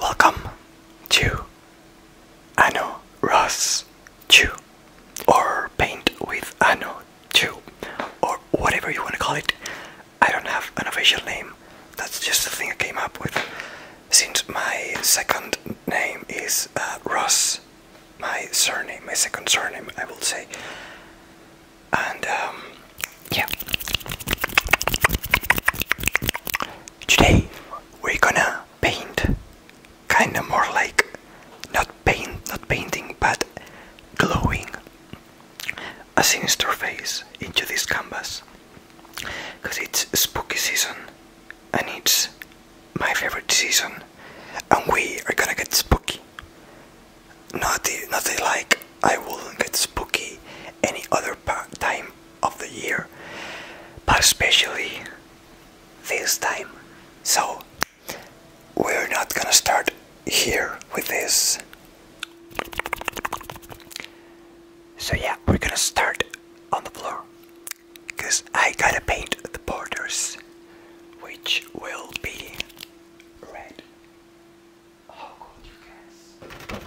Welcome to Anno Ross Chew or paint with Anno Chew or whatever you want to call it. I don't have an official name, that's just the thing I came up with since my second name is uh, Ross my surname, my second surname, I will say. And um, yeah, today we're gonna paint, kinda more like not paint, not painting, but glowing a sinister face into this canvas because it's spooky season and it's my favorite season, and we are gonna get spooky. Not the, not like I wouldn't get spooky any other time of the year, but especially this time. So we're not gonna start here with this. So yeah, we're gonna start on the floor. Cause I gotta paint the borders which will be red. How oh, could you guess?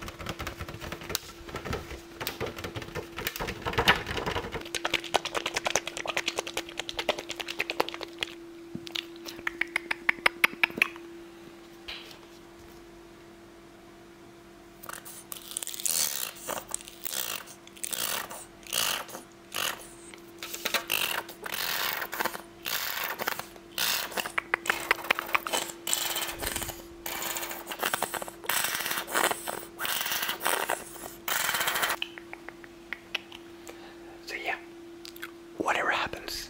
So yeah, whatever happens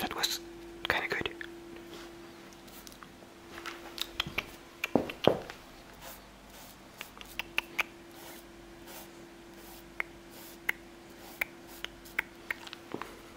That was kind of good.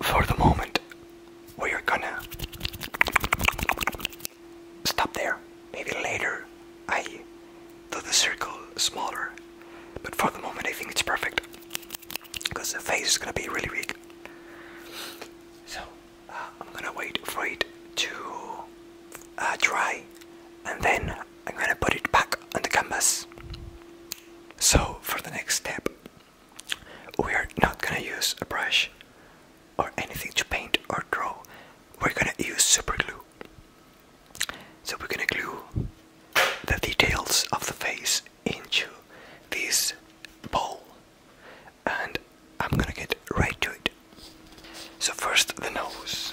for the moment, we are gonna stop there. Maybe later I do the circle smaller, but for the moment, I think it's perfect because the face is gonna be really big. So uh, I'm gonna wait for it to uh, dry and then I'm gonna put it back on the canvas. So, for the next step, we are not gonna use a brush or anything to paint or draw. We're gonna use super glue. So we're gonna glue the details of the face into this bowl and I'm gonna get right to it. So first the nose.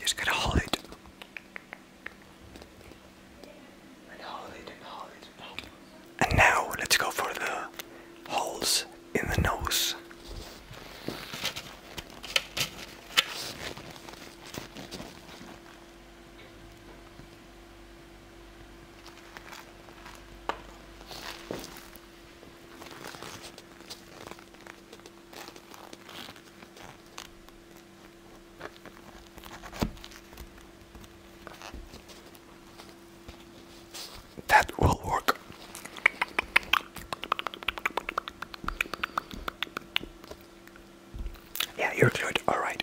just gotta hold it. it. And now let's go for the holes in the nose. That will work. Yeah, you're good. All right.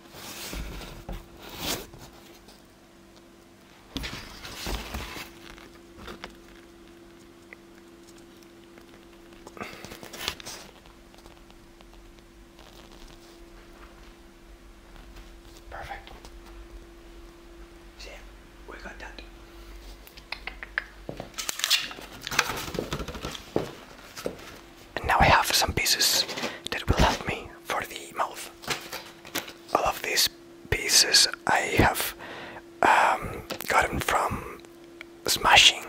Perfect. See, we got that. And now I have some pieces that will help me for the mouth. All of these pieces I have um, gotten from smashing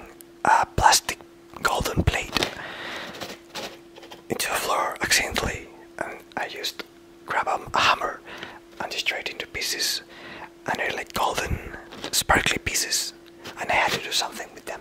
a plastic golden plate into the floor accidentally and I just grabbed a hammer and destroy it into pieces and they're like golden sparkly pieces and I had to do something with them.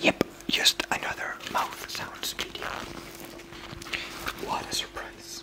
Yep, just another mouth sounds video. What a surprise.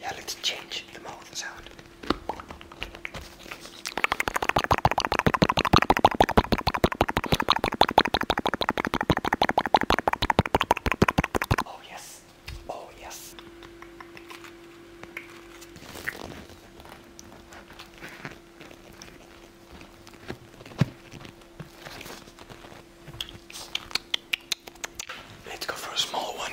Yeah, let's change the mouth sound. Oh, yes. Oh, yes. Let's go for a small one.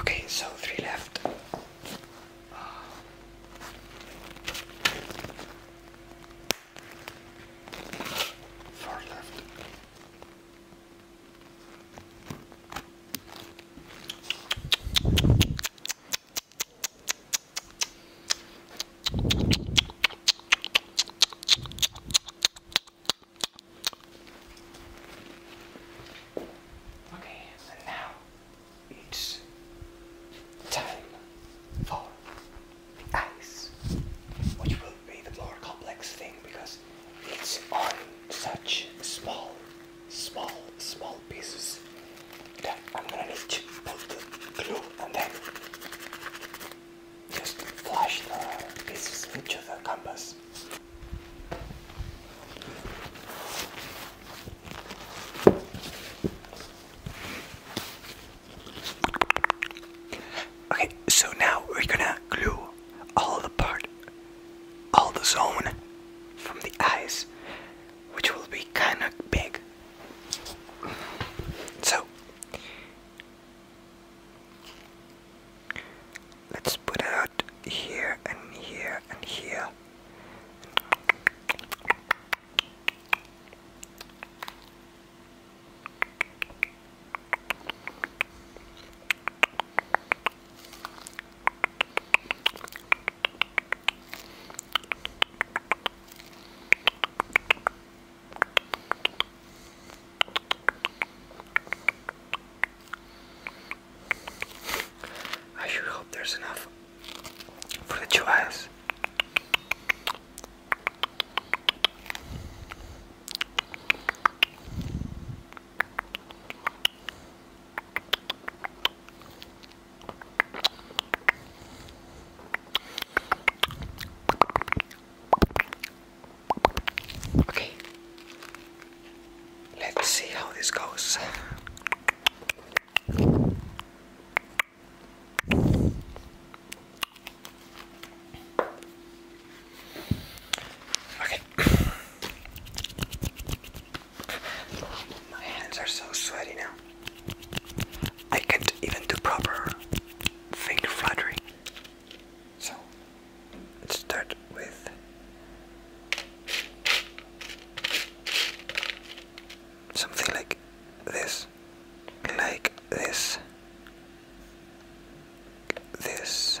Okay, so three left. four left. Okay, and now it's time for the eyes, which will be the more complex thing because it's on such small, small, small pieces that I'm gonna need to put the glue and then just flash the pieces into the canvas. Okay, so now we're gonna glue all the part, all the zone from the eyes, which will be kind of big. So, let's put it out here and here and here. I should hope there's enough for the two of us. Okay, let's see how this goes. Okay. My hands are so sweaty now. I can't even do proper finger fluttering. So, let's start with. Something like this, like this, this,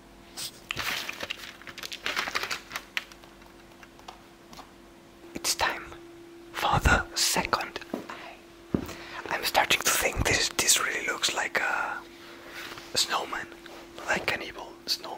It's time for the second I'm starting to think this this really looks like a, a snowman, like an evil snowman.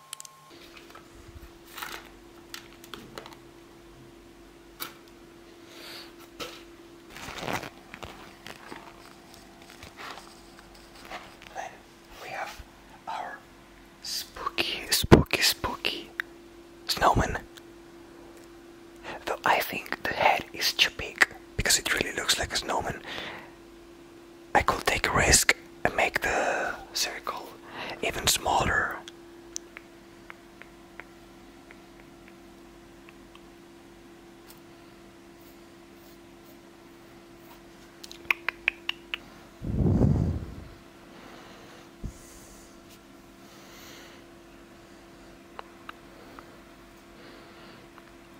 Then we have our spooky, spooky, spooky snowman. Though I think the head is too big because it really looks like a snowman. I could take a risk and make the circle even smaller.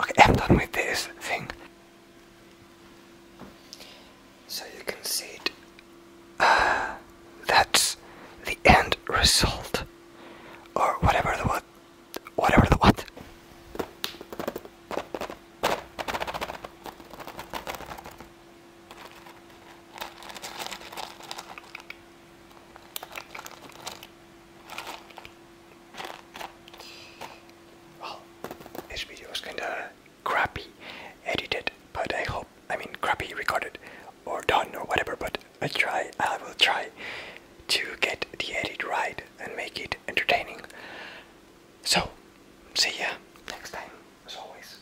Okay, I'm done with this thing. So you can see it. Uh, that's the end result, or whatever the what, whatever the what. Well, this video was kinda crappy edited, but I hope I mean crappy recorded or done or whatever. But I try, I will try to get the edit right and make it entertaining. So, see ya next time, as always.